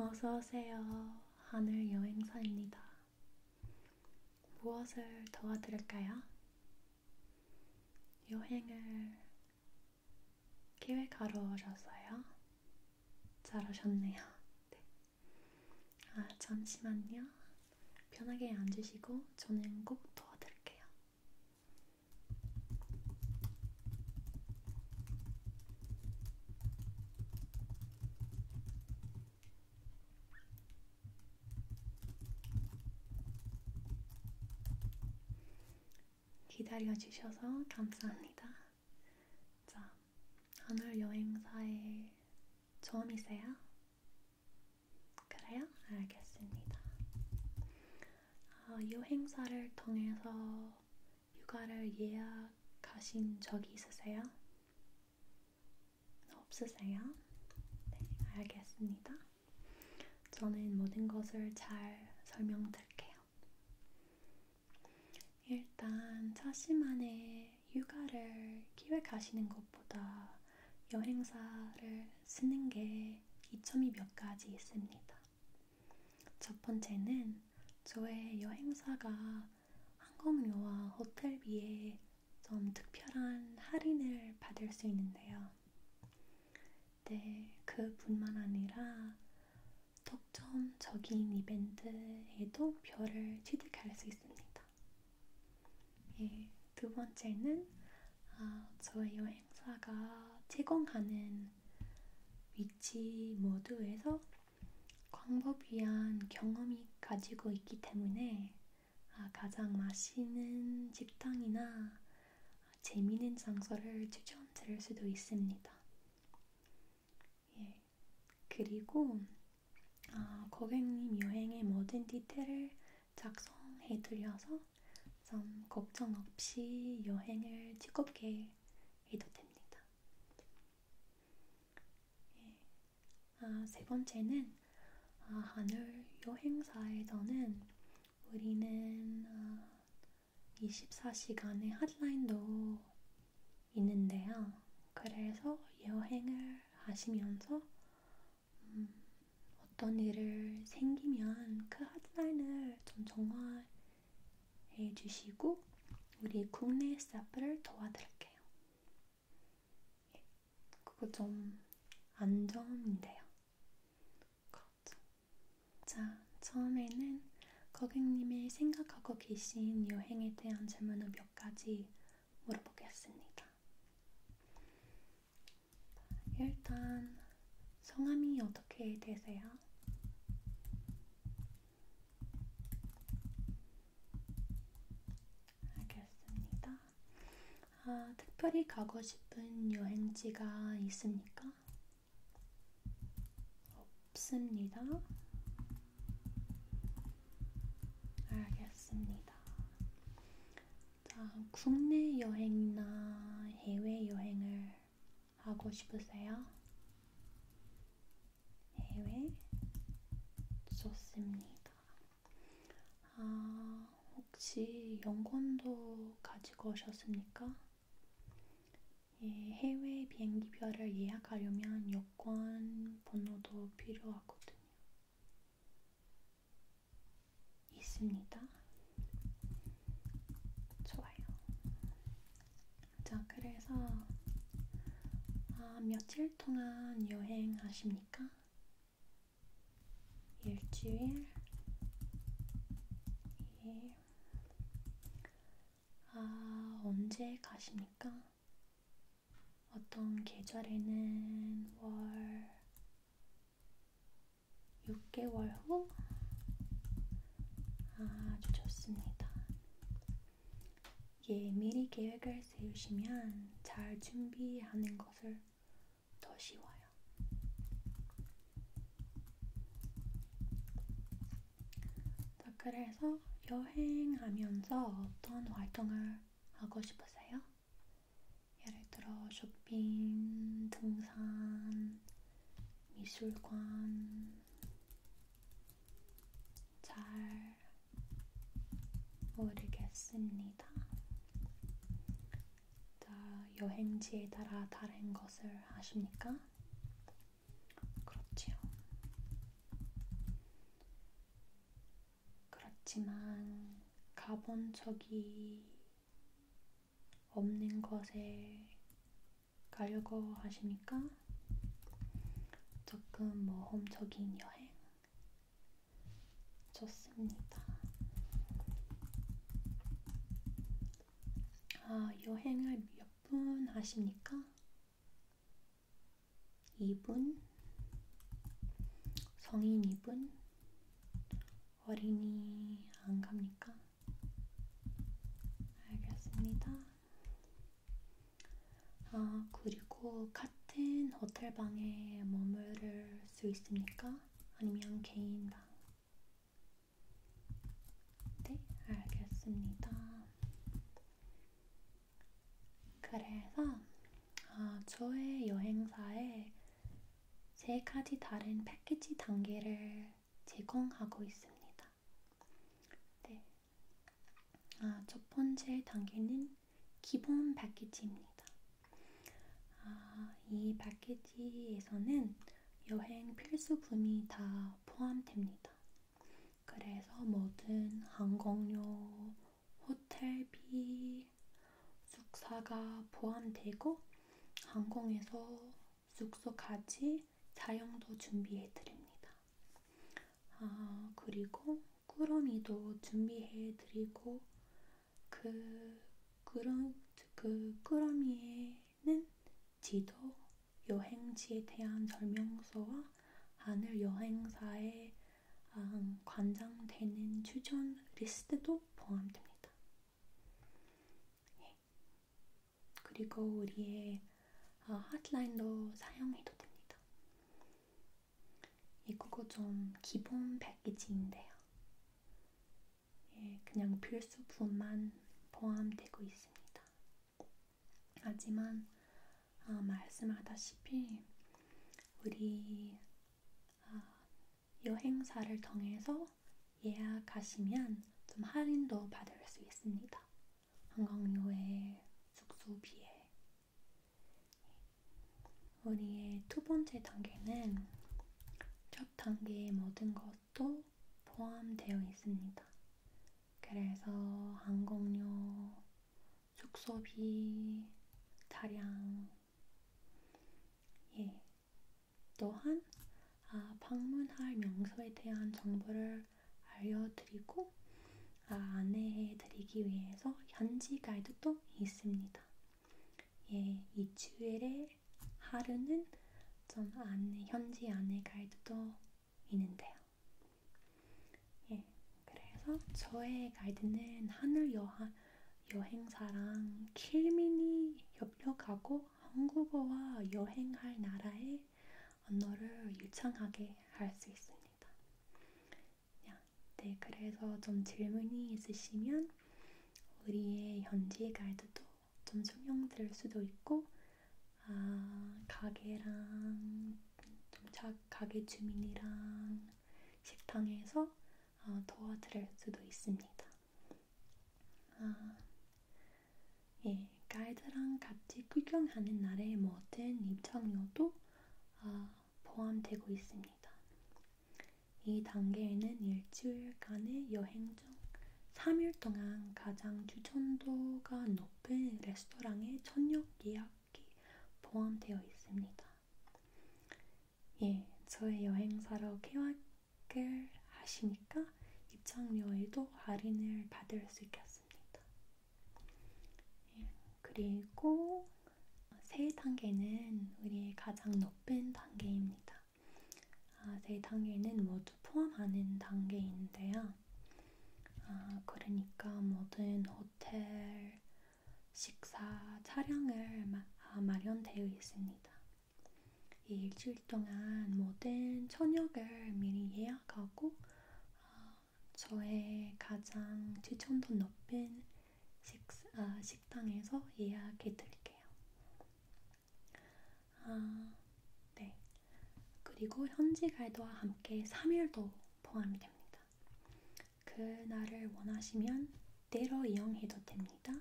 어서오세요. 하늘 여행사입니다. 무엇을 도와드릴까요? 여행을 기획하러 오셨어요? 잘 오셨네요. 네. 아, 잠시만요. 편하게 앉으시고 저는 꼭 도와드릴게요. 기다려주셔서 감사합니다. 자, 오늘 여행사에 처음이세요? 그래요? 알겠습니다. 어, 이 행사를 통해서 휴가를 예약하신 적이 있으세요? 없으세요? 네, 알겠습니다. 저는 모든 것을 잘 설명드릴게요. 일단 자신만의 휴가를 기획하시는 것보다 여행사를 쓰는 게 이점이 몇 가지 있습니다. 첫 번째는 저의 여행사가 항공료와 호텔비에 좀 특별한 할인을 받을 수 있는데요. 네, 그뿐만 아니라 독점적인 이벤트에도 별을 취득할 수 있습니다. 있습니다. 예, 두 번째는 아, 저의 여행사가 제공하는 위치 모두에서 광범위한 경험이 가지고 있기 때문에 아, 가장 맛있는 식당이나 재미있는 장소를 추천드릴 수도 있습니다. 예, 그리고 아, 고객님 여행의 모든 디테일을 작성해 드려서 좀 걱정 없이 여행을 즐겁게 해도 됩니다. 예. 아, 세 번째는 아, 하늘 여행사에서는 우리는 아, 24시간의 핫라인도 있는데요. 그래서 여행을 하시면서 음, 어떤 일을 생기면 그 핫라인을 좀 정화해 주시고 우리 국내 스타프를 도와드릴게요. 예, 그거 좀 안정인데요. 그렇죠. 자, 처음에는 고객님이 생각하고 계신 여행에 대한 질문을 몇 가지 물어보겠습니다. 일단 성함이 어떻게 되세요? 알겠습니다. 아, 특별히 가고 싶은 여행지가 있습니까? 없습니다. 알겠습니다. 자, 국내 여행이나 해외 여행을 하고 싶으세요? 해외? 좋습니다. 아, 혹시 영권도 가지고 오셨습니까? 예, 해외 비행기표를 예약하려면 여권 번호도 필요하거든요. 있습니다. 좋아요. 자, 그래서 아, 며칠 동안 여행하십니까? 일주일? 예. 아, 언제 가십니까? 어떤 계절에는 월 6개월 후 아주 좋습니다. 예, 미리 계획을 세우시면 잘 준비하는 것을 더 쉬워요. 자, 그래서 여행하면서 어떤 활동을 하고 싶으세요? 예를 들어 쇼핑, 등산, 미술관, 잘 모르겠습니다. 여행지에 따라 다른 것을 하십니까? 그렇지요. 그렇지만 가본 적이 없는 것에 가려고 하시니까 조금 모험적인 여행 좋습니다. 아, 여행을 몇 분 하십니까? 2분? 성인 2분? 어린이 안 갑니까? 알겠습니다. 아, 그리고 같은 호텔방에 머무를 수 있습니까? 아니면 개인방? 네, 알겠습니다. 그래서 어, 저의 여행사에 세 가지 다른 패키지 단계를 제공하고 있습니다. 네. 아, 첫 번째 단계는 기본 패키지입니다. 아, 이 패키지에서는 여행 필수품이 다 포함됩니다. 그래서 모든 항공료, 호텔비, 숙사가 포함되고 항공에서 숙소까지 자영도 준비해 드립니다. 아, 그리고 꾸러미도 준비해 드리고 그 꾸러, 그 꾸러미에는 지도, 여행지에 대한 설명서와 하늘 여행사의 음, 관장되는 추천 리스트도 포함됩니다. 예. 그리고 우리의 어, 핫라인도 사용해도 됩니다. 이거 예, 좀 기본 패키지인데요. 예, 그냥 필수품만 포함되고 있습니다. 하지만 어, 말씀하다시피 우리 여행사를 아, 통해서 예약하시면 좀 할인도 받을 수 있습니다. 한강료에 숙소비에. 우리의 두 번째 단계는 첫 단계의 모든 것도 포함되어 있습니다. 그래서 항공료, 숙소비, 차량, 예. 또한 아, 방문할 명소에 대한 정보를 알려드리고 아, 안내해드리기 위해서 현지 가이드도 있습니다. 예, 이 주일에 하루는 전 안내, 현지 안내 가이드도 있는데요. 예, 그래서 저의 가이드는 하늘 여한 여행사랑 킬민이 협력하고 한국어와 여행할 나라의 언어를 유창하게 할 수 있습니다. 네, 그래서 좀 질문이 있으시면 우리의 현지 가이드도 좀 설명드릴 수도 있고 아, 가게랑 좀 자, 가게 주민이랑 식당에서 어, 도와드릴 수도 있습니다. 아, 예, 가이드랑 같이 구경하는 날의 모든 뭐 입장료도 어, 포함되고 있습니다. 이 단계에는 일주일간의 여행 중 3일 동안 가장 추천도가 높은 레스토랑의 저녁 예약이 포함되어 있습니다. 예, 저의 여행사로 계약을 하시니까 입장료에도 할인을 받을 수 있겠습니다. 예, 그리고 세 단계는 우리의 가장 높은 단계입니다. 아, 세 단계는 모두 포함하는 단계인데요. 아, 그러니까 모든 호텔, 식사 차량을 마, 아, 마련되어 있습니다. 이 일주일 동안 모든 저녁을 미리 예약하고 아, 저의 가장 추천도 높은 식, 아, 식당에서 예약해 드릴게요. 아, 네. 그리고 현지 가이드와 함께 3일도 포함이 됩니다. 그날을 원하시면 때로 이용해도 됩니다.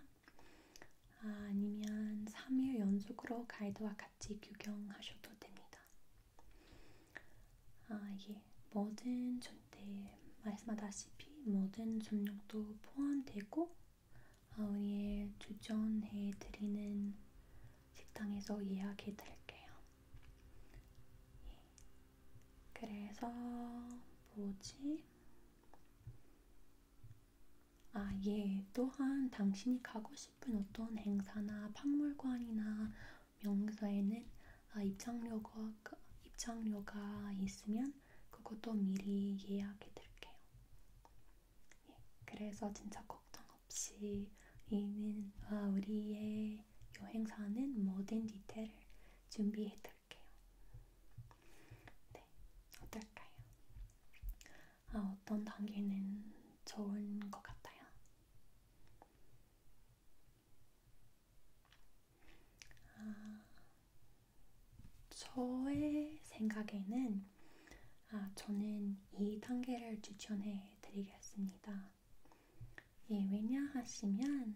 아, 아니면 3일 연속으로 가이드와 같이 구경하셔도 됩니다. 아, 예. 모든 전대 네, 말씀하다시피 모든 전력도 포함되고 아, 우리의 추천해 드리는 식당에서 예약해 드릴게요. 예. 그래서 뭐지? 아, 예. 또한 당신이 가고 싶은 어떤 행사나 박물관이나 명소에는 아, 입장료가, 그, 입장료가 있으면 그것도 미리 예약해 드릴게요. 예, 그래서 진짜 걱정 없이 우리는 아, 우리의 여행사는 모든 디테일을 준비해 드릴게요. 해볼게요. 네, 어떨까요? 아, 어떤 단계는 좋은 것 같아요? 아, 저의 생각에는 아, 저는 이 단계를 추천해 드리겠습니다. 예, 왜냐하시면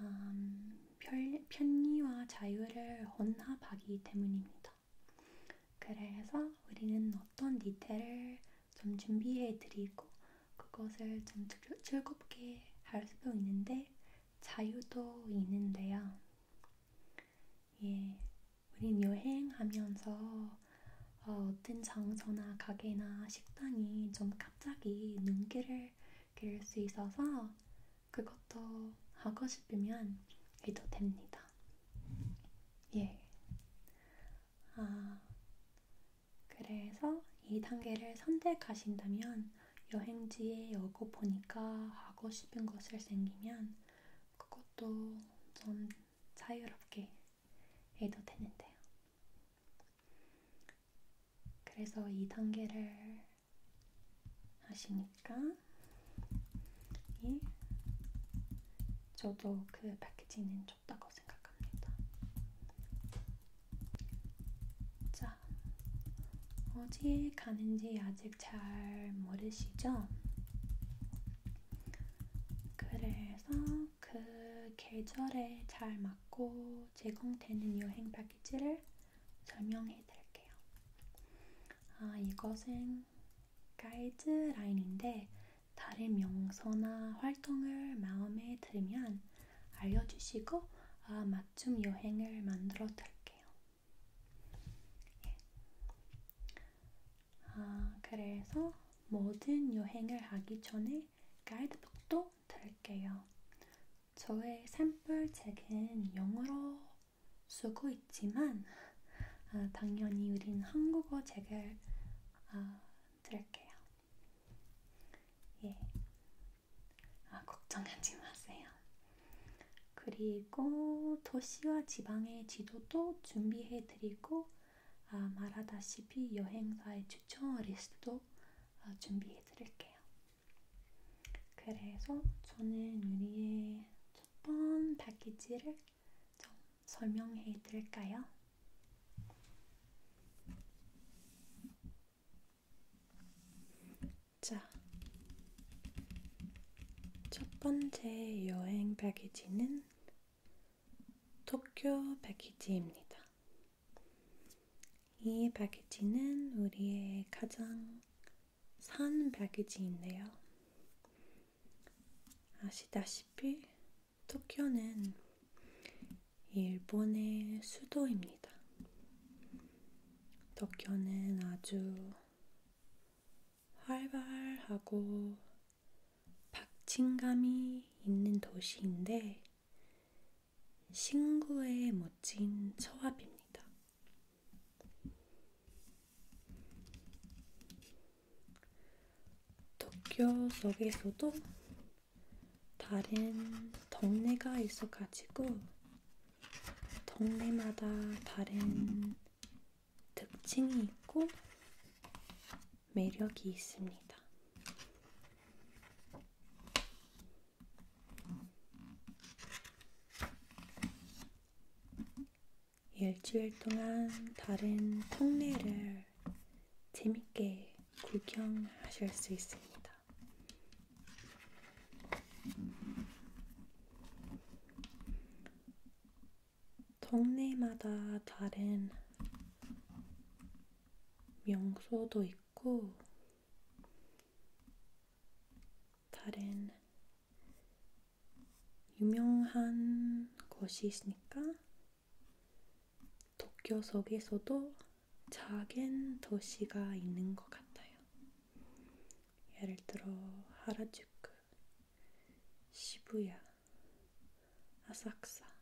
음, 편, 편리와 자유를 혼합하기 때문입니다. 그래서 우리는 어떤 디테일을 좀 준비해 드리고 그것을 좀 즐겁게 할 수도 있는데 자유도 있는데요. 예, 우린 여행하면서 어, 어떤 장소나 가게나 식당이 좀 갑자기 눈길을 생각을 기를 수 있어서 그것도 하고 싶으면 해도 됩니다. 예. 아, 그래서 이 단계를 선택하신다면 여행지에 여고 보니까 하고 싶은 것을 생기면 그것도 좀 자유롭게 해도 되는데요. 그래서 이 단계를 하시니까 이 예. 저도 그 패키지는 좋다고 생각합니다. 자, 어디에 가는지 아직 잘 모르시죠? 그래서 그 계절에 잘 맞고 제공되는 여행 패키지를 설명해 드릴게요. 아, 이것은 가이드라인인데 다른 명소나 활동을 마음에 들면 알려주시고 아, 맞춤 여행을 만들어 드릴게요. 예. 아, 그래서 모든 여행을 하기 전에 가이드북도 설명 드릴게요. 저의 샘플 책은 영어로 쓰고 있지만 아, 당연히 우린 한국어 책을 아, 드릴게요. 예, 아, 걱정하지 마세요. 그리고 도시와 지방의 지도도 준비해드리고 아, 말하다시피 여행사의 추천 리스트도 어, 준비해 드릴게요. 그래서 저는 유리의 첫번 패키지를 좀 설명해 드릴까요? 자, 첫 번째 여행 패키지는 도쿄 패키지입니다. 이 패키지는 우리의 가장 산 패키지인데요. 아시다시피 도쿄는 일본의 수도입니다. 도쿄는 아주 활발하고 박진감이 있는 도시인데 신구의 멋진 처합입니다. 도쿄 속에서도 다른 동네가 있어가지고 동네마다 다른 특징이 있고 매력이 있습니다. 일주일 동안 다른 통례를 재밌게 구경하실 수 있습니다. 동네마다 다른 명소도 있고 있고, 다른 유명한 것이 있으니까, 도쿄 속에서도 작은 도시가 있는 것 같아요. 예를 들어, 하라주쿠, 시부야, 아사쿠사,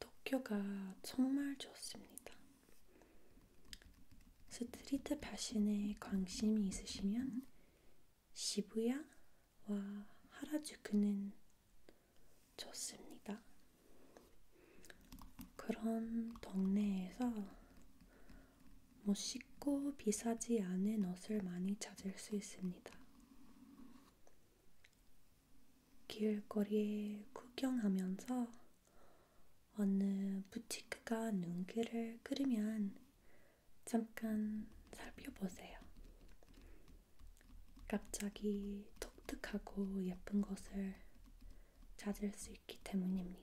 도쿄가 정말 좋습니다. 스트리트 패션에 관심이 있으시면 시부야와 하라주쿠는 좋습니다. 그런 동네에서 멋있고 비싸지 않은 옷을 많이 찾을 수 있습니다. 길거리에 구경하면서 어느 부티크가 눈길을 끌으면 잠깐 살펴보세요. 갑자기 독특하고 예쁜 것을 찾을 수 있기 때문입니다.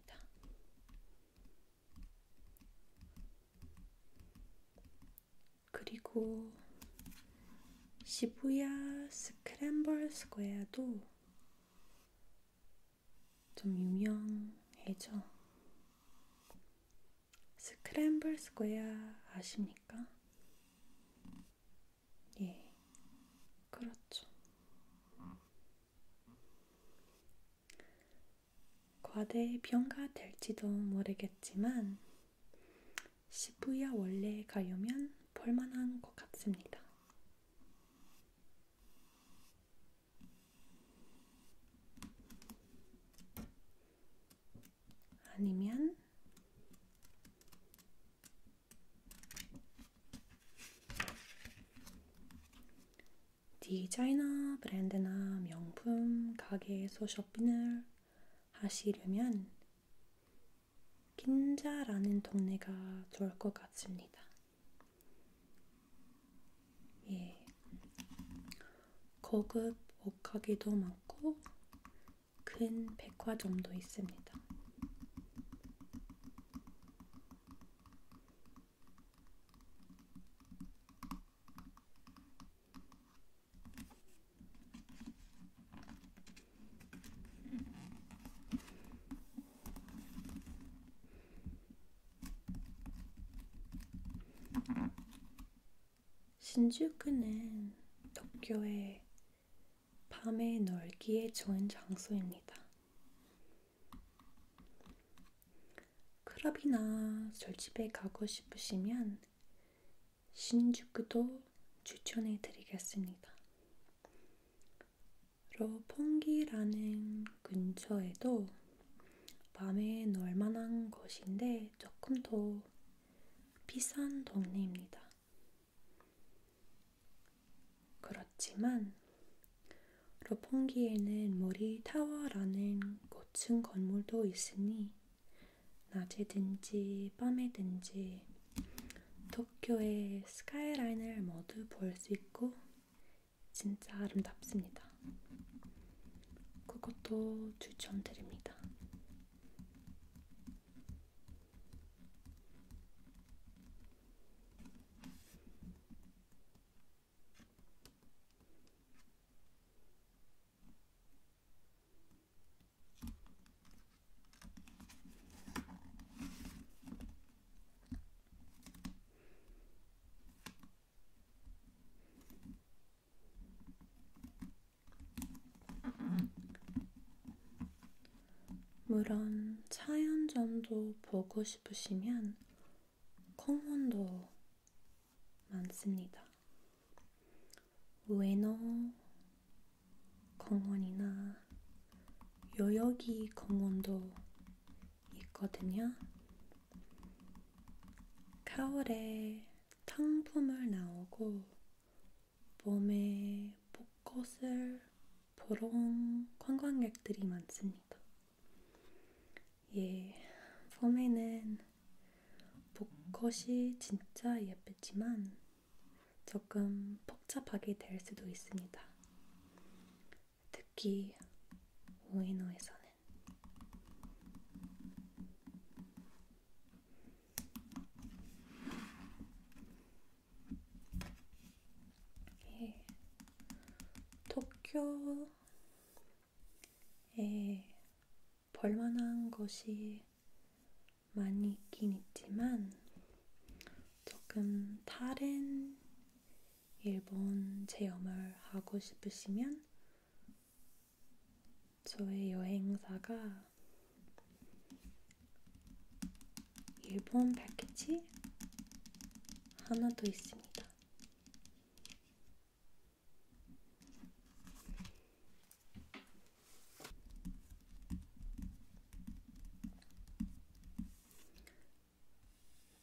그리고 시부야 스크램블 스퀘어도 좀 유명해져. 스크램블 스퀘어 아십니까? 예, 그렇죠. 과대의 병가 될지도 모르겠지만 시부야 원래에 가려면 볼만한 것 같습니다. 아니면 디자이너 브랜드나 명품 가게에서 쇼핑을 하시려면 긴자라는 동네가 좋을 것 같습니다. 예. 고급 옷가게도 많고 큰 백화점도 있습니다. 신주쿠는 도쿄의 밤의 놀기에 좋은 장소입니다. 클럽이나 술집에 가고 싶으시면 신주쿠도 추천해 드리겠습니다. 로펑기라는 근처에도 밤에 놀 만한 곳인데 조금 더 비싼 동네입니다. 그렇지만 로펑기에는 모리타워라는 고층 건물도 있으니 낮이든지 밤이든지 도쿄의 스카이라인을 모두 볼 수 있고 진짜 아름답습니다. 그것도 추천드립니다. 물론 차연전도 보고 싶으시면 커먼도 많습니다. 외너 공원이나 요요기 공원도 있거든요. 가을에 탕풍을 나오고 봄에 벚꽃을 보러 온 관광객들이 많습니다. 예, 봄에는 벚꽃이 진짜 예쁘지만 조금 복잡하게 될 수도 있습니다. 특히 오이노에서는 예, 도쿄에 벌만한 것이 많이 있긴 있지만 조금 다른 일본 체험을 하고 싶으시면 저의 여행사가 일본 패키지 하나 더 있습니다.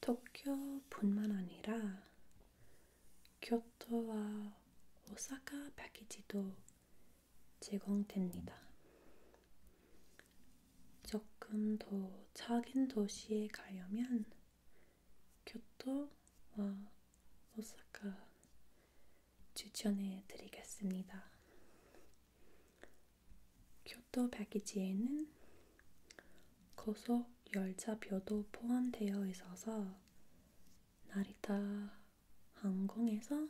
도쿄뿐만 아니라 교토와 오사카 패키지도 제공됩니다. 조금 더 작은 도시에 가려면 교토와 오사카 추천해 드리겠습니다. 교토 패키지에는 고속 열차표도 포함되어 있어서 나리타 항공에서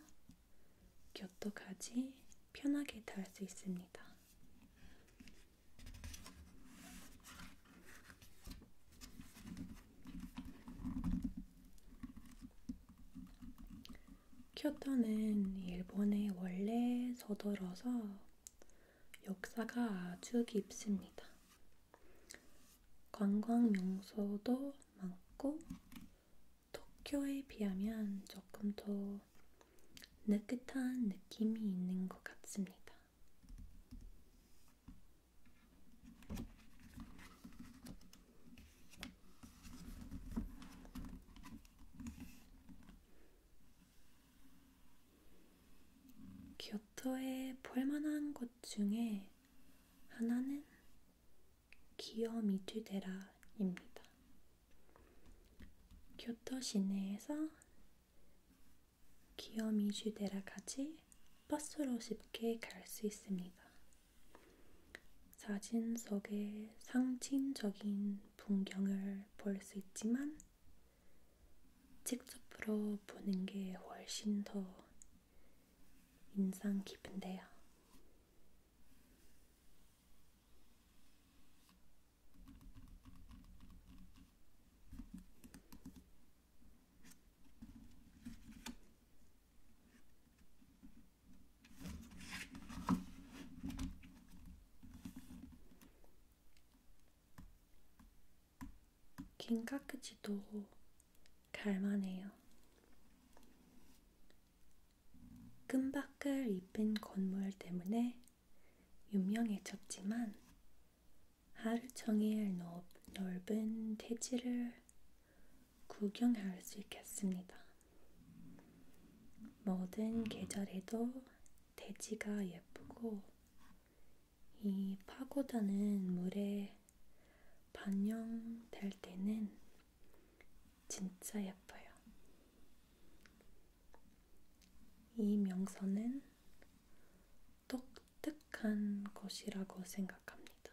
교토까지 편하게 탈 수 있습니다. 쿄토는 일본에 원래 서돌어서 역사가 아주 깊습니다. 관광 명소도 많고 도쿄에 비하면 조금 더 느긋한 느낌이 있는 것 같습니다. 교토에 볼만한 곳 중에 하나는 기요미주데라입니다. 교토 시내에서 기요미주데라까지 버스로 쉽게 갈 수 있습니다. 사진 속의 상징적인 풍경을 볼 수 있지만 직접으로 보는 게 훨씬 더 인상 깊은데요. 긴 깍지도 갈만해요. 끈밖을 입힌 건물 때문에 유명해졌지만 하루 종일 넓은 대지를 구경할 수 있겠습니다. 모든 계절에도 대지가 예쁘고 이 파고드는 물에 반영될 때는 진짜 예뻐요. 이 명소는 독특한 곳이라고 생각합니다.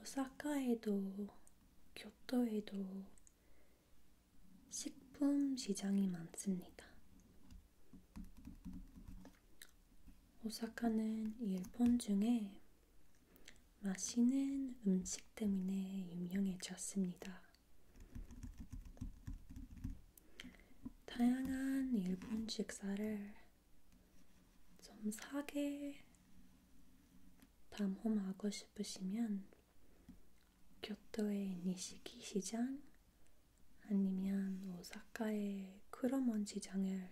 오사카에도 교토에도 식품 시장이 많습니다. 오사카는 일본 중에 맛있는 음식 때문에 유명해졌습니다. 다양한 일본 식사를 좀 사게 밤홈하고 싶으시면 교토의 니시키 시장 아니면 오사카의 크로몬 시장을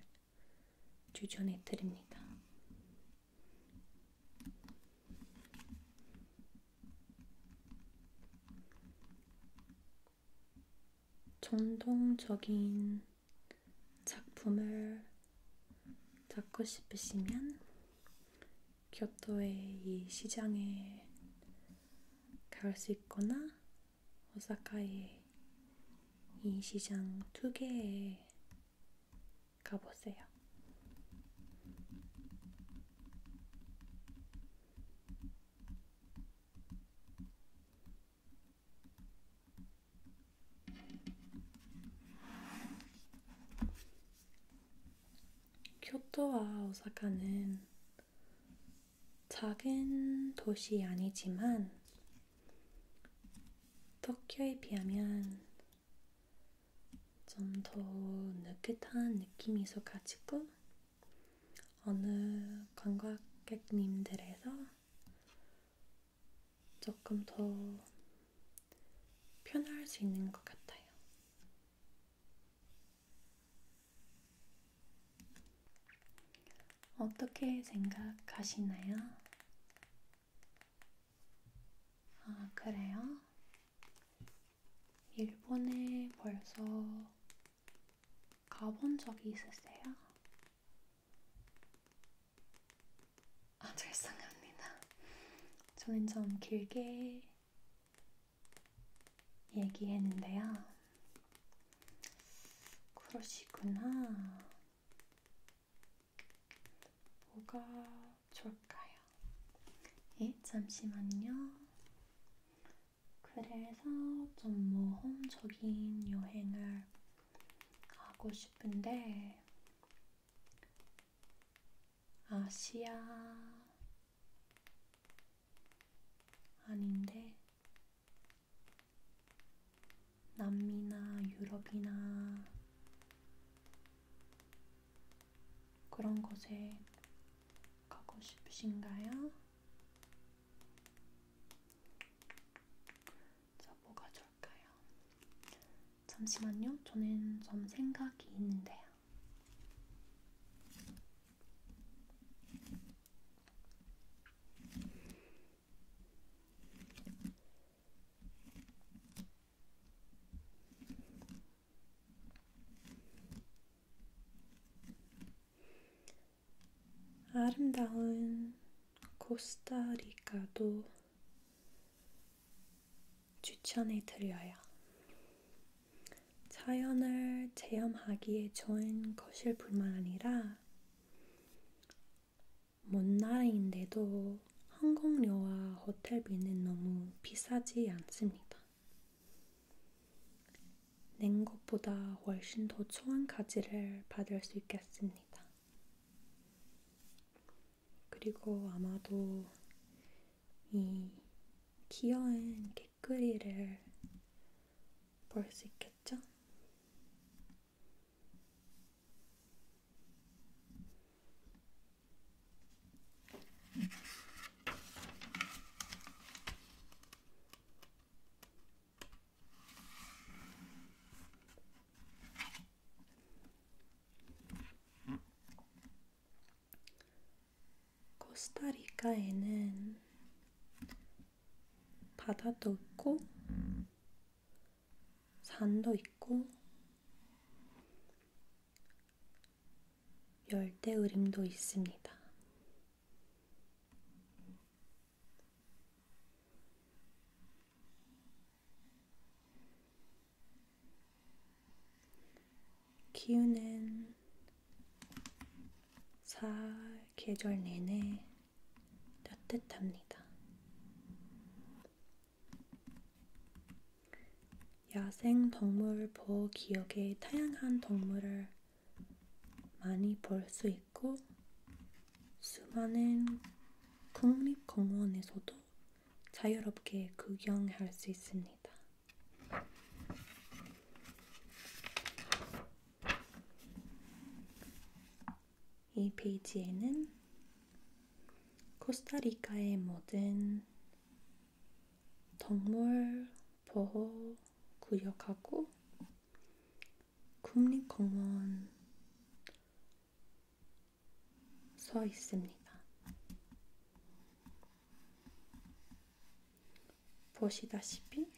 추천해 드립니다. 전통적인 작품을 찾고 싶으시면 교토의 이 시장에 갈 수 있거나 오사카의 이 시장 두 개에 가보세요. 교토와 오사카는 작은 도시 아니지만 도쿄에 비하면 좀 더 느긋한 느낌이 있어가지고 어느 관광객님들에서 조금 더 편할 수 있는 것 같아요. 어떻게 생각하시나요? 아, 그래요? 일본에 벌써 가본 적이 있으세요? 아, 죄송합니다. 저는 좀 길게 얘기했는데요. 그러시구나. 뭐가 좋을까요? 예, 잠시만요. 그래서 좀 모험적인 여행을 가고 싶은데 아시아 아닌데 남미나 유럽이나 그런 곳에 가고 싶으신가요? 자, 뭐가 좋을까요? 잠시만요. 저는 좀 생각이 있는데요. 아름다운 코스타리카도 추천해 드려요. 자연을 체험하기에 좋은 것일 뿐만 아니라 먼 나라인데도 항공료와 호텔비는 너무 비싸지 않습니다. 낸 것보다 훨씬 더 좋은 가지를 받을 수 있겠습니다. 그리고 아마도 이 귀여운 개구리를 볼 수 있겠죠? 코스타리카에는 바다도 있고, 산도 있고, 열대우림도 있습니다. 기운은 사계절 내내 따뜻합니다. 야생 동물 보호 기억에 다양한 동물을 많이 볼 수 있고, 있고 수많은 국립공원에서도 자유롭게 구경할 수 있습니다. 이 페이지에는 코스타리카의 모든 동물 보호 구역하고 국립공원 서 있습니다. 보시다시피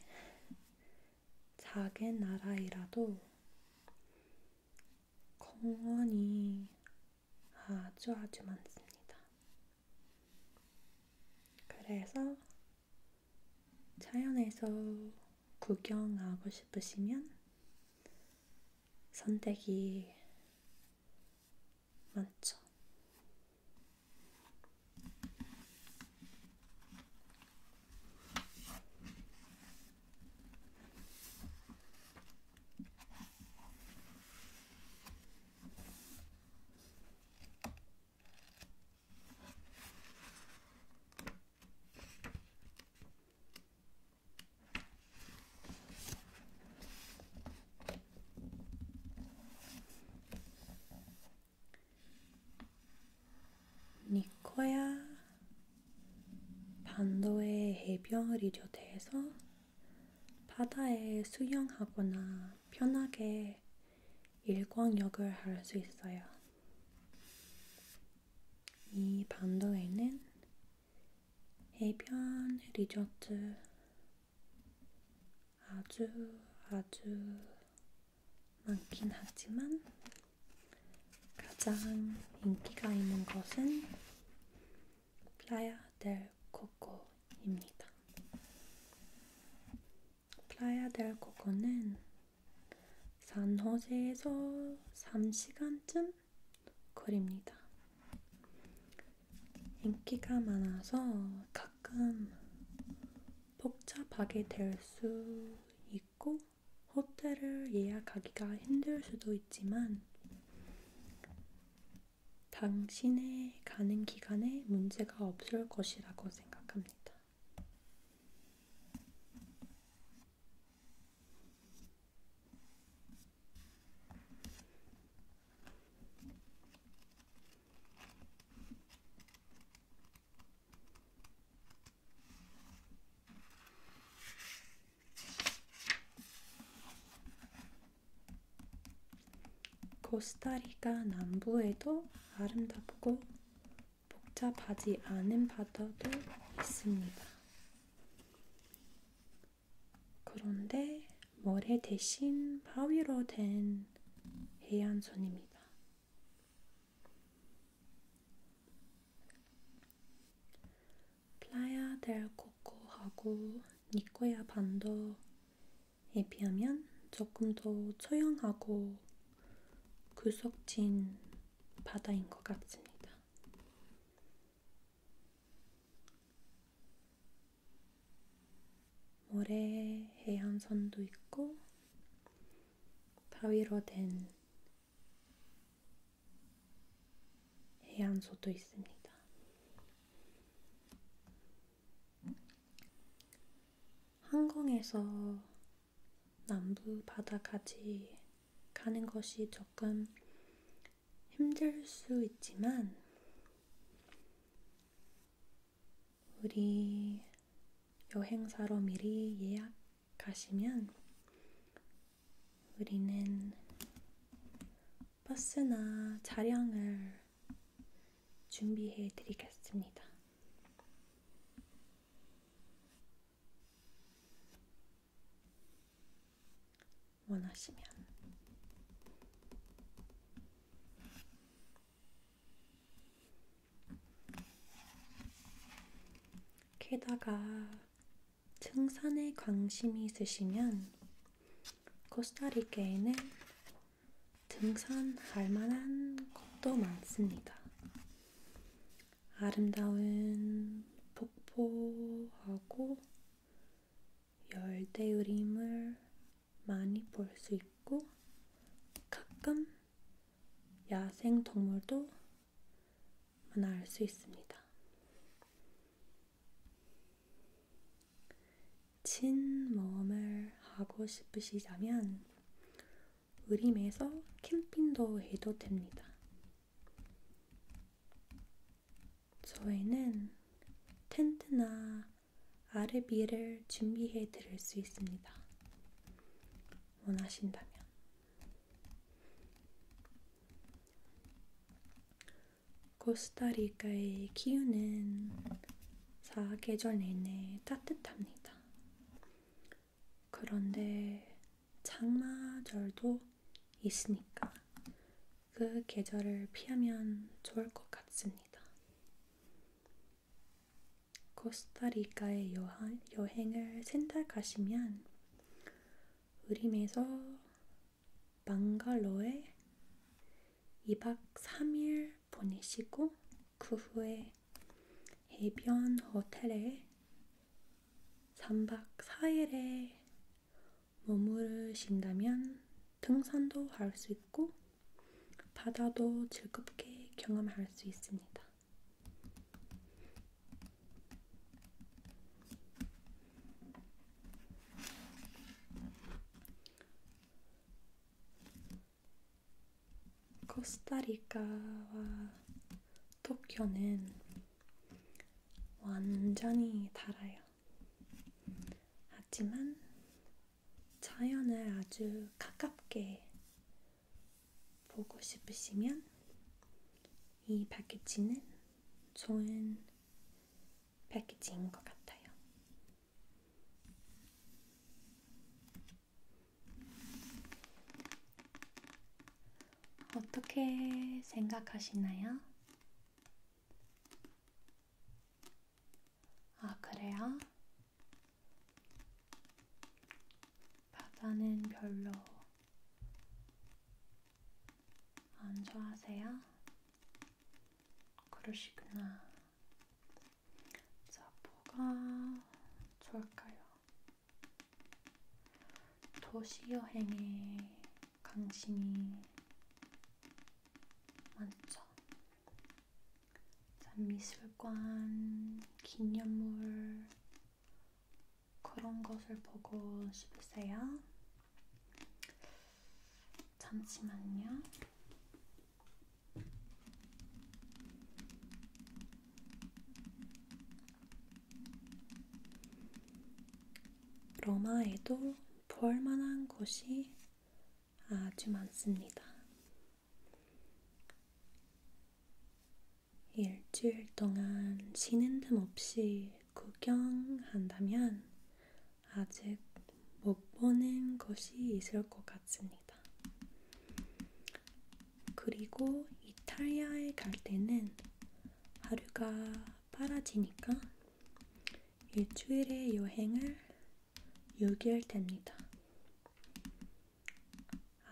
작은 나라이라도 공원이 아주 아주 많습니다. 그래서 자연에서 구경하고 싶으시면 선택이 많죠. 니코야 반도의 해변이려 대해서 바다에 수영하거나 편하게 일광욕을 할 수 있어요. 이 반도에는 해변 리조트 아주 아주 많긴 하지만 가장 인기가 있는 것은 플라야 델 코코입니다. 플라야 델 코코는 산호제에서 3시간쯤 걸립니다. 인기가 많아서 가끔 복잡하게 될 수 있고 호텔을 예약하기가 힘들 수도 있지만 당신의 가는 기간에 문제가 없을 것이라고 생각합니다. 코스타리카 남부에도 아름답고 복잡하지 않은 바다도 있습니다. 그런데 모래 대신 바위로 된 해안선입니다. 플라야 델 코코하고 니코야 반도에 비하면 조금 더 조용하고 구석진 바다인 것 같습니다. 모래 해안선도 있고 바위로 된 해안소도 있습니다. 한강에서 남부 바다까지 가는 것이 조금 힘들 수 있지만, 우리 여행사로 미리 예약하시면 우리는 버스나 차량을 준비해 드리겠습니다. 원하시면 게다가 등산에 관심이 있으시면 코스타리케에는 등산할 만한 곳도 많습니다. 아름다운 폭포하고 열대우림을 많이 볼 수 있고 가끔 야생 동물도 만날 수 있습니다. 친모험을 하고 싶으시다면 의림에서 캠핑도 해도 됩니다. 저희는 텐트나 아르비를 준비해 드릴 수 있습니다. 원하신다면. 코스타리카의 기후는 사계절 내내 따뜻합니다. 그런데 장마절도 있으니까 그 계절을 피하면 좋을 것 같습니다. 코스타리카에 여행, 여행을 생각하시면 의림에서 방갈로에 2박 3일 보내시고 그 후에 해변 호텔에 3박 4일에 머무르신다면 등산도 할 수 있고 바다도 즐겁게 경험할 수 있습니다. 코스타리카와 도쿄는 완전히 달라요. 하지만 자연을 아주 가깝게 보고 싶으시면 이 패키지는 좋은 패키지인 것 같아요. 어떻게 생각하시나요? 아, 그래요? 바다는 별로 안 좋아하세요? 그러시구나. 자, 뭐가 좋을까요? 도시여행에 관심이 많죠. 미술관, 기념물 그런 것을 보고 싶으세요? 잠시만요. 로마에도 볼만한 곳이 아주 많습니다. 일주일 동안 쉬는 틈 없이 구경한다면 아직 못 보는 곳이 있을 것 같습니다. 그리고 이탈리아에 갈 때는 하루가 빨아지니까 일주일의 여행을 6일 됩니다.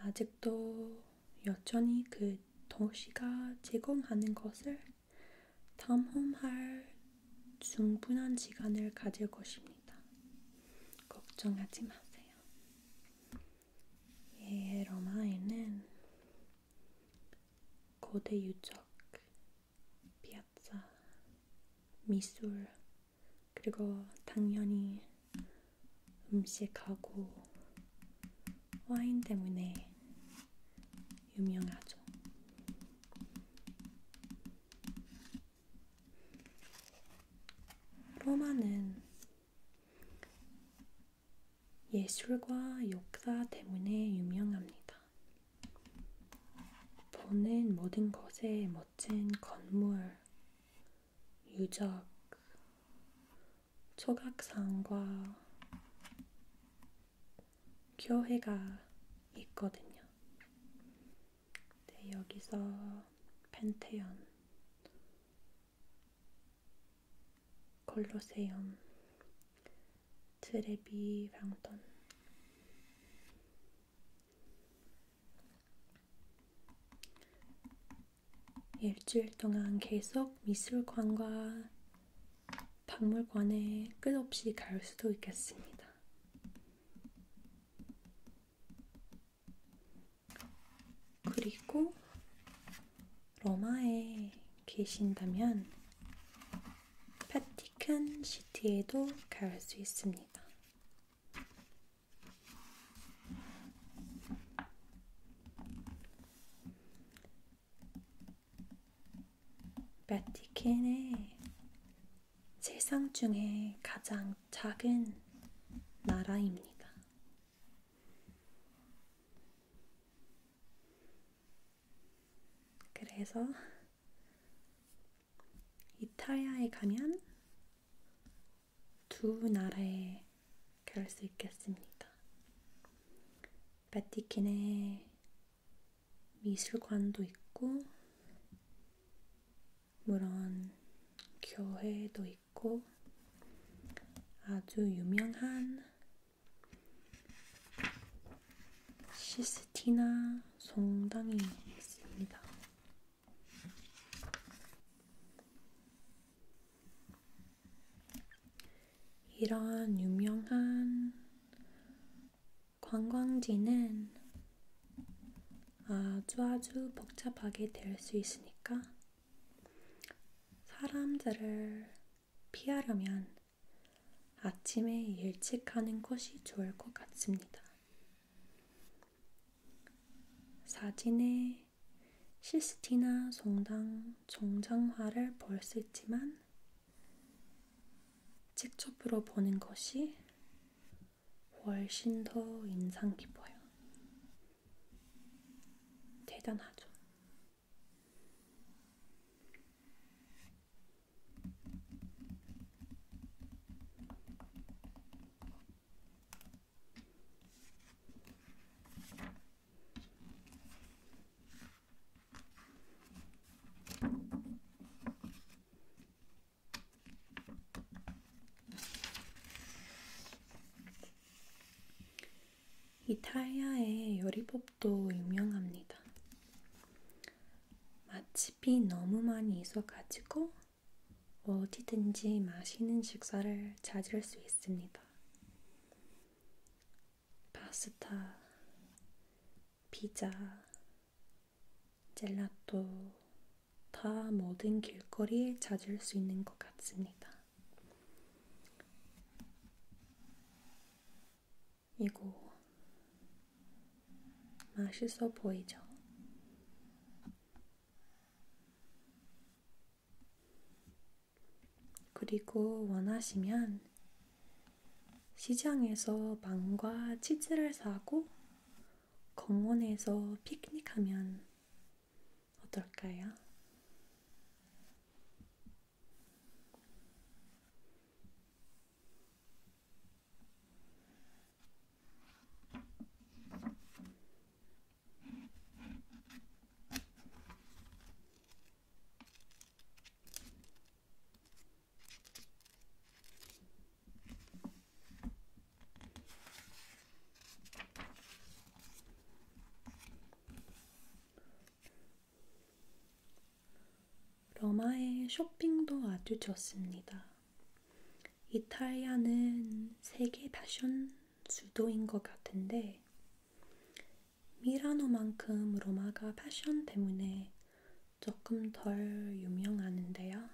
아직도 여전히 그 도시가 제공하는 것을 탐험할 충분한 시간을 가질 것입니다. 걱정하지 마세요. 예, 로마에는 고대 유적, 피아자, 미술, 그리고 당연히 음식하고 와인 때문에 유명하죠. 로마는 예술과 역사 때문에 유명합니다. 보는 모든 것에 멋진 건물, 유적, 조각상과 교회가 있거든요. 네, 여기서 펜테온, 콜로세움 트레비 방돈 일주일 동안 계속 미술관과 박물관에 끝없이 갈 수도 있겠습니다. 그리고 러마에 계신다면 파티칸 시티에도 갈 수 있습니다. 바티칸의 세상 중에 가장 작은 나라입니다. 그래서 이탈리아에 가면 두 나라에 갈 수 있겠습니다. 바티킨에 미술관도 있고 물론 교회도 있고 아주 유명한 시스티나 성당이 있습니다. 이런 유명한 관광지는 아주 아주 복잡하게 될 수 있으니까 사람들을 피하려면 아침에 일찍 하는 것이 좋을 것 같습니다. 사진에 시스티나 성당 정장화를 볼 수 있지만 직접으로 보는 것이 훨씬 더 인상 깊어요. 대단하죠. 이탈리아의 요리법도 유명합니다. 맛집이 너무 많이 있어가지고 어디든지 맛있는 식사를 찾을 수 있습니다. 파스타, 피자, 젤라또, 다 모든 길거리에 찾을 수 있는 것 같습니다. 이거 맛있어 보이죠? 그리고 원하시면 시장에서 빵과 치즈를 사고 공원에서 피크닉하면 어떨까요? 러마의 쇼핑도 아주 좋습니다. 이탈리아는 세계 패션 수도인 것 같은데 미라노만큼 로마가 패션 때문에 조금 덜 유명하는데요.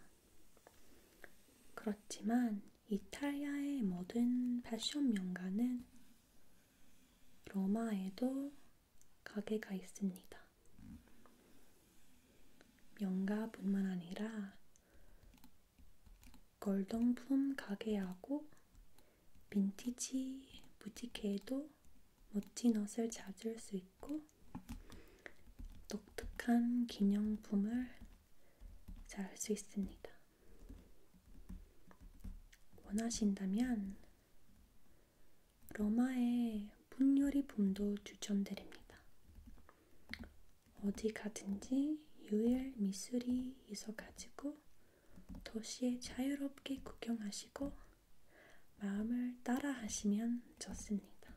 그렇지만 이탈리아의 모든 패션 명가는 로마에도 가게가 있습니다. 명가뿐만 아니라 골동품 가게하고 빈티지 부티케에도 멋진 옷을 찾을 수 있고 독특한 기념품을 잘할수 있습니다. 원하신다면 러마의 분요리 봄도 추천드립니다. 어디 가든지 유일 미술이 있어가지고 도시에 자유롭게 구경하시고 마음을 따라 하시면 좋습니다.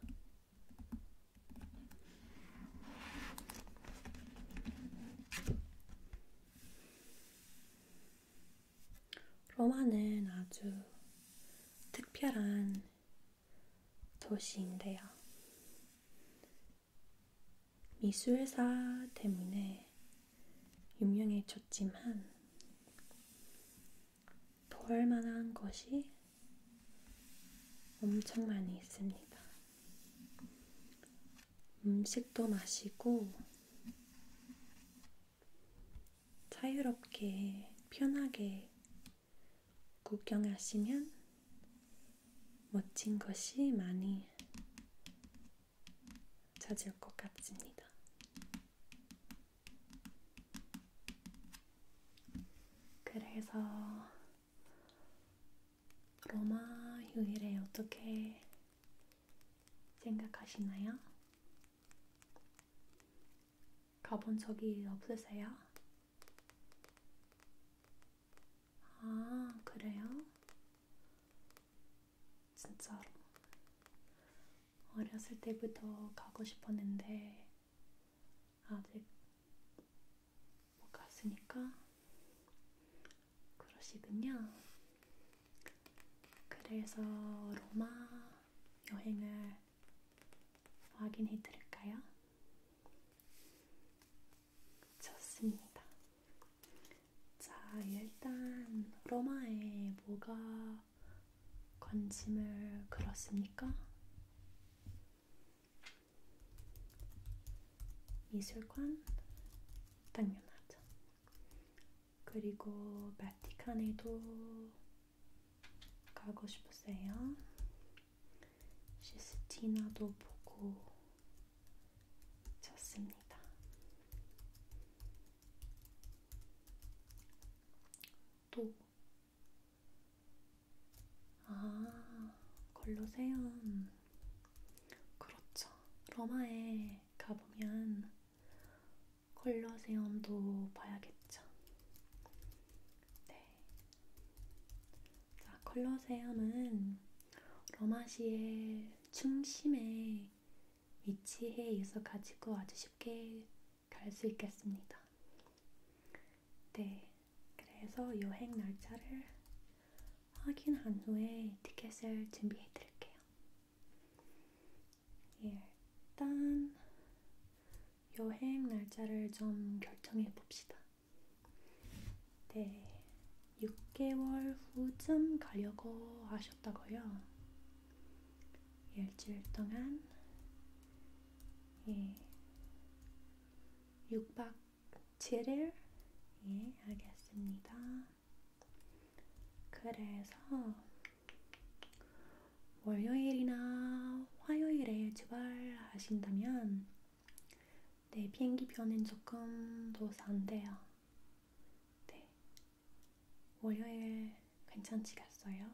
로마는 아주 특별한 도시인데요. 미술사 때문에 유명해졌지만 볼 만한 것이 엄청 많이 있습니다. 음식도 마시고 자유롭게 편하게 구경하시면 멋진 것이 많이 찾을 것 같습니다. 그래서 로마 휴일에 어떻게 생각하시나요? 가본 적이 없으세요? 아, 그래요? 진짜로. 어렸을 때부터 가고 싶었는데, 아직 못 갔으니까 그러시군요. 그래서 로마 여행을 확인해 드릴까요? 좋습니다. 자, 일단 로마에 뭐가 관심을 끌었습니까? 미술관 당연하죠. 그리고 바티칸에도 가고 싶었어요. 시스티나도 보고 잤습니다. 또 아, 걸로세움. 그렇죠. 로마에 가보면 걸로세움도 봐야겠죠. 네. 자, 컬러세움은 로마시의 중심에 위치해 있어 가지고 아주 쉽게 갈 수 있겠습니다. 네, 그래서 여행 날짜를 확인한 후에 티켓을 준비해 드릴게요. 예, 일단 여행 날짜를 좀 결정해 봅시다. 네, 6개월 후쯤 가려고 하셨다고요. 예, 일주일 동안 예, 6박 7일? 예, 알겠습니다. 그래서 월요일이나 화요일에 출발하신다면 네, 비행기 표는 조금 더 싼데요. 네, 월요일 괜찮지겠어요?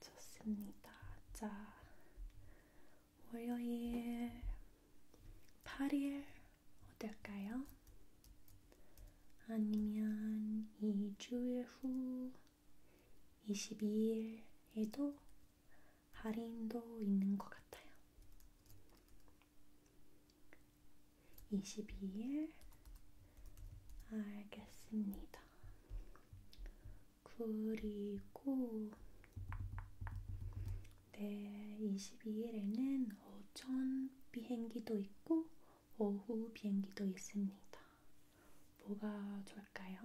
좋습니다. 자, 월요일 8일 어떨까요? 아니면 2주일 후 22일에도 할인도 있는 것 같아요. 22일 알겠습니다. 그리고 네, 22일에는 오전 비행기도 있고 오후 비행기도 있습니다. 뭐가 좋을까요?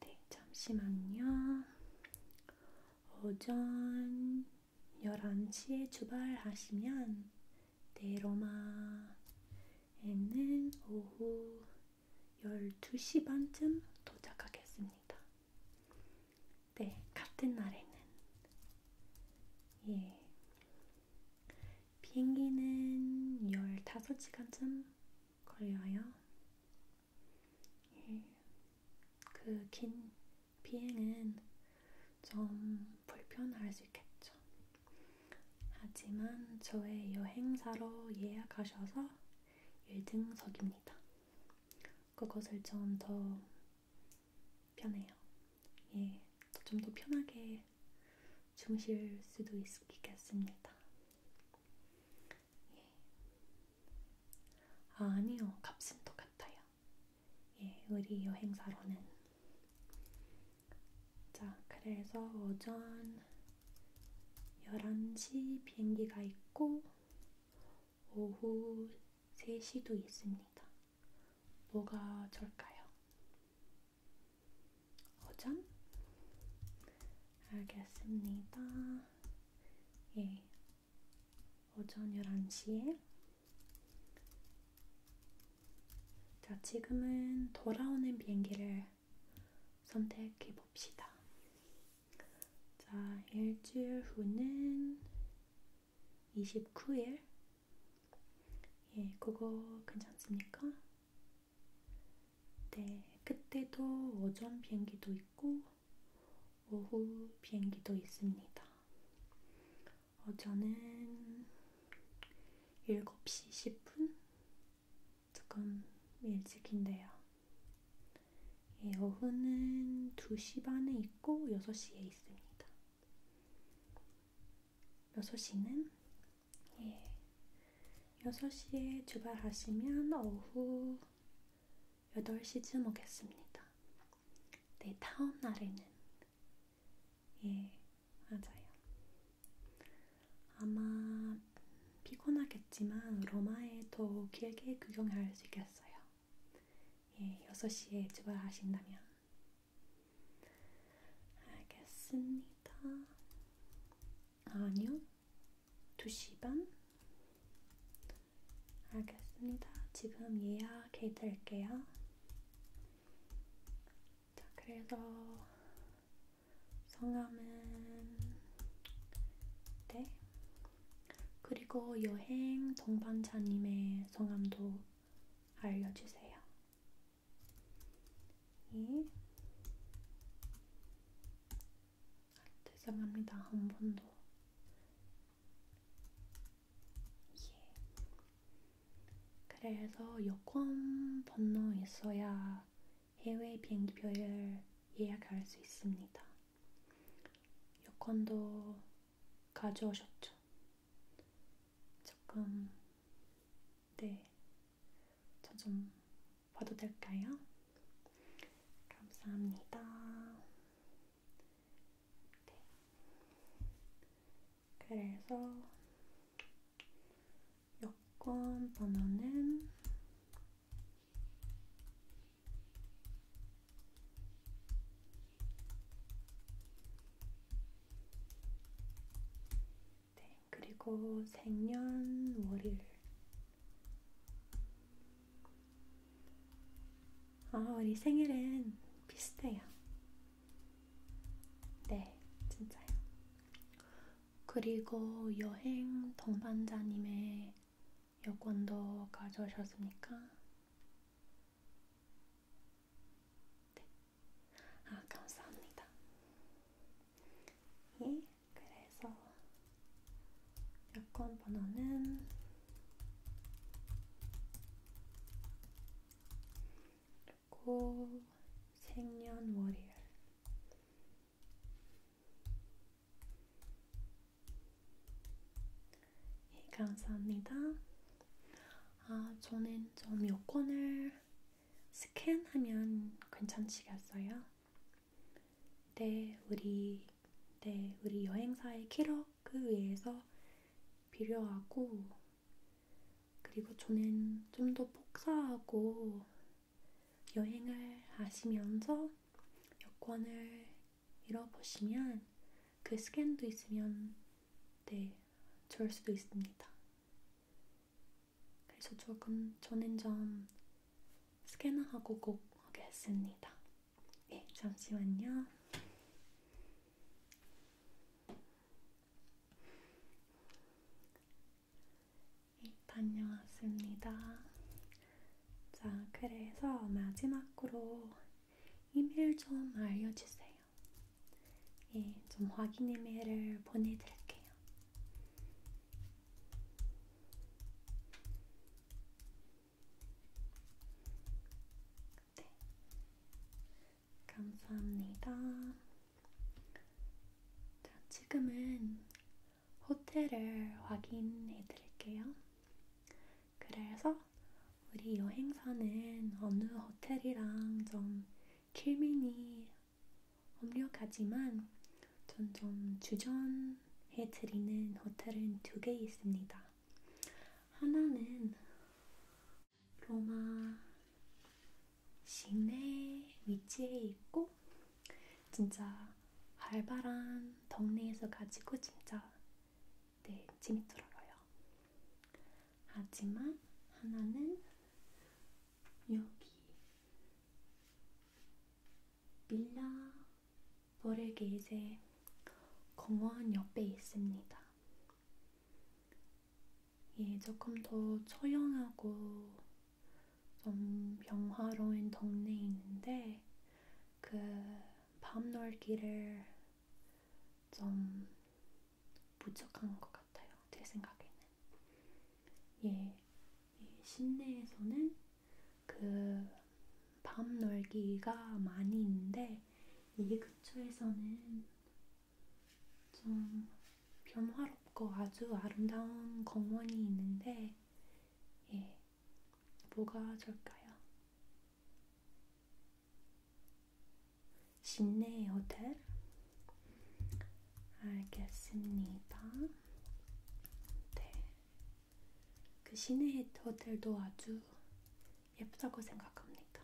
네, 잠시만요. 오전 11시에 출발하시면 네, 로마에는 오후 12시 반쯤 도착하겠습니다. 네, 같은 날에는 예. 비행기는 15시간쯤 걸려요. 예. 그 긴 비행은 좀 불편할 수 있겠죠. 하지만 저의 여행사로 예약하셔서 1등석입니다. 그것을 좀 더 편해요. 예, 좀 더 편하게 주무실 수도 있겠습니다. 예. 아, 아니요, 값은 똑같아요. 예, 우리 여행사로는. 자, 그래서 오전 11시 비행기가 있고 오후 3시도 있습니다. 뭐가 좋을까요? 오전? 알겠습니다. 예. 오전 11시에 자, 지금은 돌아오는 비행기를 선택해 봅시다. 자, 일주일 후는 29일. 예, 그거 괜찮습니까? 네, 그때도 오전 비행기도 있고, 오후 비행기도 있습니다. 어, 저는 7시 10분? 조금 일찍인데요. 예, 오후는 2시 반에 있고 6시에 있습니다. 6시는 예, 6시에 출발하시면 오후 8시쯤 오겠습니다. 네, 다음 날에는 예, 맞아요. 아마 피곤하겠지만 로마에 더 길게 구경할 수 있겠어요. 예, 6시에 출발하신다면. 알겠습니다. 아니요. 2시 반? 알겠습니다. 지금 예약해드릴게요. 자, 그래서 성함은 네. 그리고 여행 동반자님의 성함도 알려주세요. 예. 죄송합니다. 한 번도. 예. 그래서 여권 번호 있어야 해외 비행기표를 예약할 수 있습니다. 여권도 가져오셨죠? 조금, 네. 저 좀 봐도 될까요? 감사합니다. 네. 그래서 여권 번호는 네, 그리고 생년월일 아, 우리 생일은 비슷해요. 네, 진짜요. 그리고 여행 동반자님의 여권도 가져오셨습니까? 네. 아, 감사합니다. 예, 그래서 여권 번호는 그리고 생년월일 예, 감사합니다. 아, 저는 좀 요건을 스캔하면 괜찮으시겠어요? 네, 우리, 네, 우리 여행사의 기록을 위해서 필요하고, 그리고 저는 좀 더 복사하고 여행을 하시면서 여권을 잃어보시면 그 스캔도 있으면 네, 절 수도 있습니다. 그래서 조금 저는 좀 스캔하고 꼭 하겠습니다. 네, 잠시만요. 네, 다녀왔습니다. 자, 그래서 마지막으로 이메일 좀 알려주세요. 예, 좀 확인 이메일을 보내드릴게요. 네. 감사합니다. 자, 지금은 호텔을 확인해 드릴게요. 그래서 우리 여행사는 어느 호텔이랑 좀 킬민이 엄격하지만 전좀 주전해 드리는 호텔은 두 개 있습니다. 하나는 로마 시내 위치에 있고 진짜 활발한 동네에서 가지고 진짜 네, 재미들어요. 하지만 하나는 여기 빌라 버르게이제 공원 옆에 있습니다. 예, 조금 더 조용하고 좀 평화로운 동네에 있는데 그밤 놀기를 좀 부족한 것 같아요. 제 생각에는. 예, 시내에서는 그밤 놀기가 많이 있는데 이 근처에서는 좀 변화롭고 아주 아름다운 공원이 있는데, 예, 뭐가 좋을까요? 시내 호텔? 알겠습니다. 네. 그 시내 호텔도 아주 예쁘다고 생각합니다.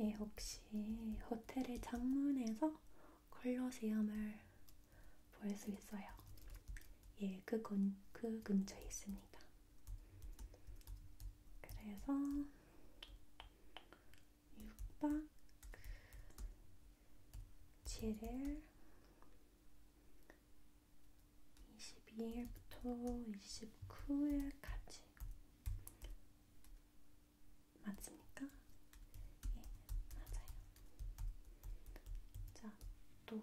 예, 혹시 호텔의 창문에서 컬러 세안을 보일 수 있어요. 예, 그, 근, 그 근처에 있습니다. 그래서 6박 7일 22일부터 29일까지 맞습니까? 예, 맞아요. 자, 또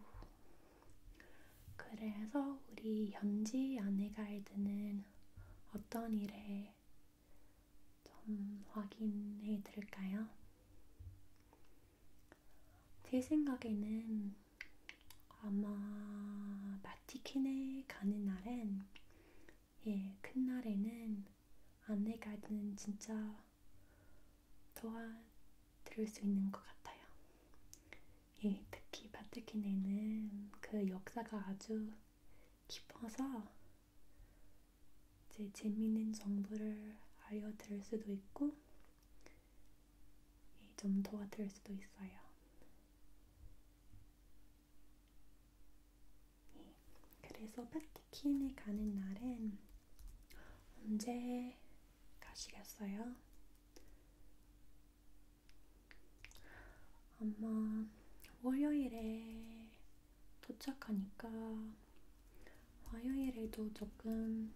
그래서 우리 현지 아내가이드는 어떤 일에 좀 확인해 드릴까요? 제 생각에는 아마 바티킨에 가는 날엔 예, 큰 날에는 안내 가이드는 진짜 도와드릴 수 있는 것 같아요. 예, 특히 바트킨에는 그 역사가 아주 깊어서 제 재미있는 정보를 알려드릴 수도 있고 예, 좀 도와드릴 수도 있어요. 예. 그래서 파티킨에 가는 날엔 언제 가시겠어요? 아마 월요일에 도착하니까 화요일에도 조금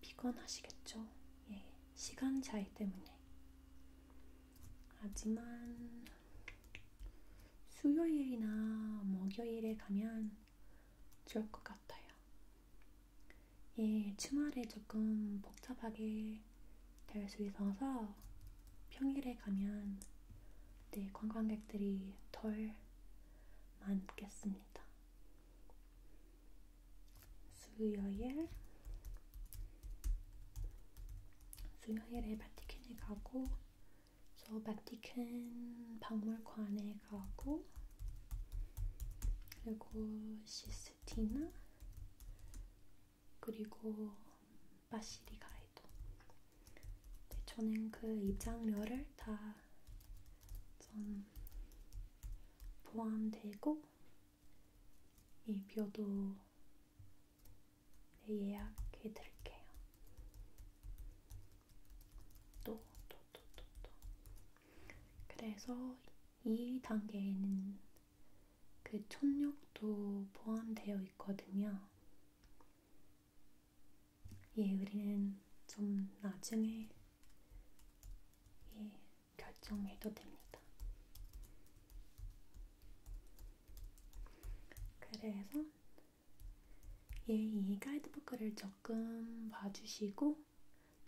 피곤하시겠죠? 예, 시간 차이 때문에. 하지만 수요일이나 뭐 목요일에 가면 좋을 것 같아요. 예, 주말에 조금 복잡하게 될 수 있어서 평일에 가면 네, 관광객들이 덜 많겠습니다. 수요일 수요일에 바티칸에 가고 그래서 바티칸 박물관에 가고 그리고 시스티나 그리고 바시리가에도 네, 저는 그 입장료를 다전 포함되고 이 표도 네, 예약해 드릴게요. 또, 또, 또, 또, 또. 그래서 이 단계에는 그 천력도 포함되어 있거든요. 예, 우리는 좀 나중에 예, 결정해도 됩니다. 그래서 예, 이 가이드북을 조금 봐주시고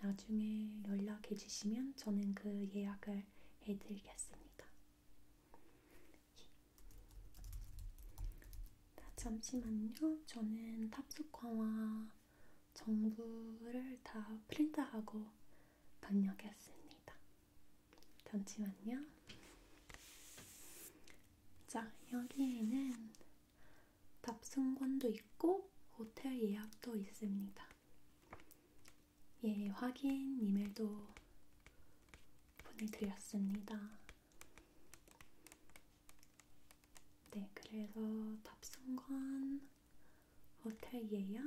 나중에 연락해 주시면 저는 그 예약을 해드리겠습니다. 자, 예. 아, 잠시만요. 저는 탑승권과 정보를 다 프린트하고 번역했습니다. 잠시만요. 자, 여기에는 답승권도 있고 호텔 예약도 있습니다. 예, 확인 이메일도 보내드렸습니다. 네, 그래서 답승권, 호텔 예약,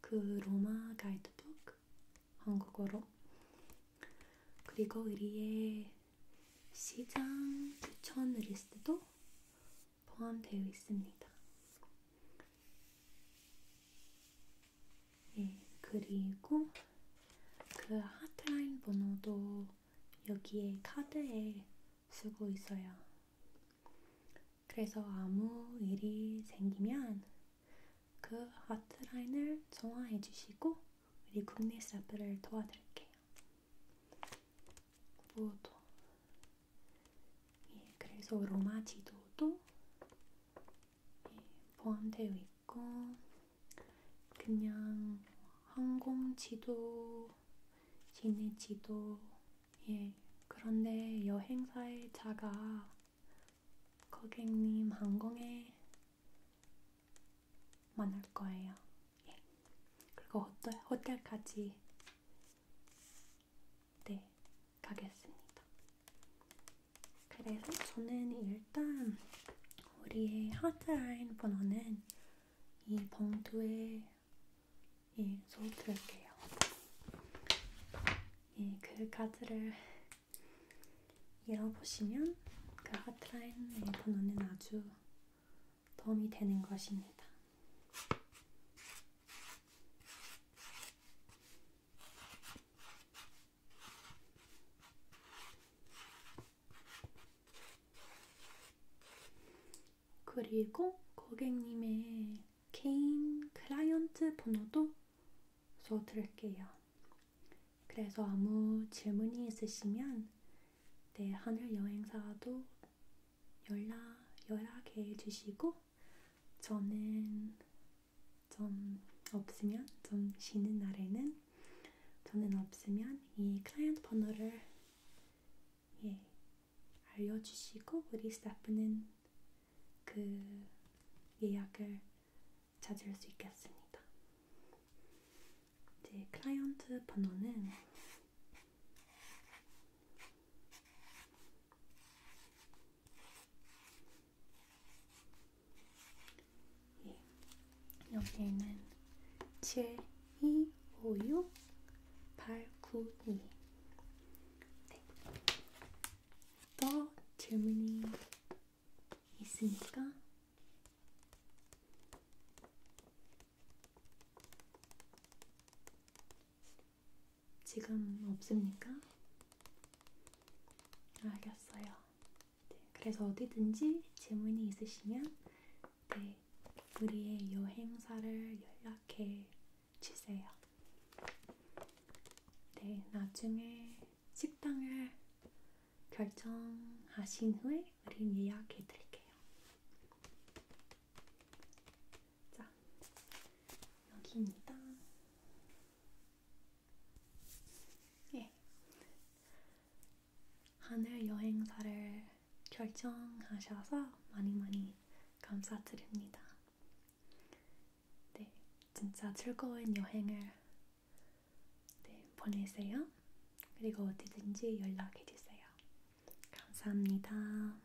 그 로마 가이드북, 한국어로. 그리고 우리의 시장 추천 리스트도 포함되어 있습니다. 예, 그리고 그 하트라인 번호도 여기에 카드에 쓰고 있어요. 그래서 아무 일이 생기면 그 하트라인을 정화해 주시고 우리 국내 스타프를 도와드릴게요. 모두 예, 그래서 로마 지도도 예, 포함되어 있고 그냥 항공 지도, 시내 지도 예 그런데 여행사의 자가 고객님 항공에 만날 거예요. 예. 그리고 호텔, 호텔까지 네, 가겠습니다. 그래서 저는 일단 우리의 하트라인 번호는 이 봉투에 예, 적어드릴게요. 예, 그 카드를 열어보시면 그 하트라인 일본어는 아주 도움이 되는 것입니다. 그리고 고객님의 개인 클라이언트 번호도 써드릴게요. 그래서 아무 질문이 있으시면 내 네, 하늘 여행사도 연락 연락해 주시고 저는 좀 없으면 좀 쉬는 날에는 저는 없으면 이 클라이언트 번호를 예 알려주시고 우리 스태프는 그 예약을 찾을 수 있겠습니다. 이제 클라이언트 번호는 예, 여기에는 7, 2, 5, 6, 8, 9, 2 네. 또 질문이 있으니까 지금 없습니까? 알겠어요. 네, 그래서 어디든지 질문이 있으시면 네, 우리의 여행사를 연락해 주세요. 네, 나중에 식당을 결정하신 후에 우린 예약해드릴게요. 자, 여기입니다. 예. 하늘 여행사를 결정하셔서 많이 많이 감사드립니다. 네, 진짜 즐거운 여행을 네, 보내세요. 그리고 어디든지 연락해 주세요. 감사합니다.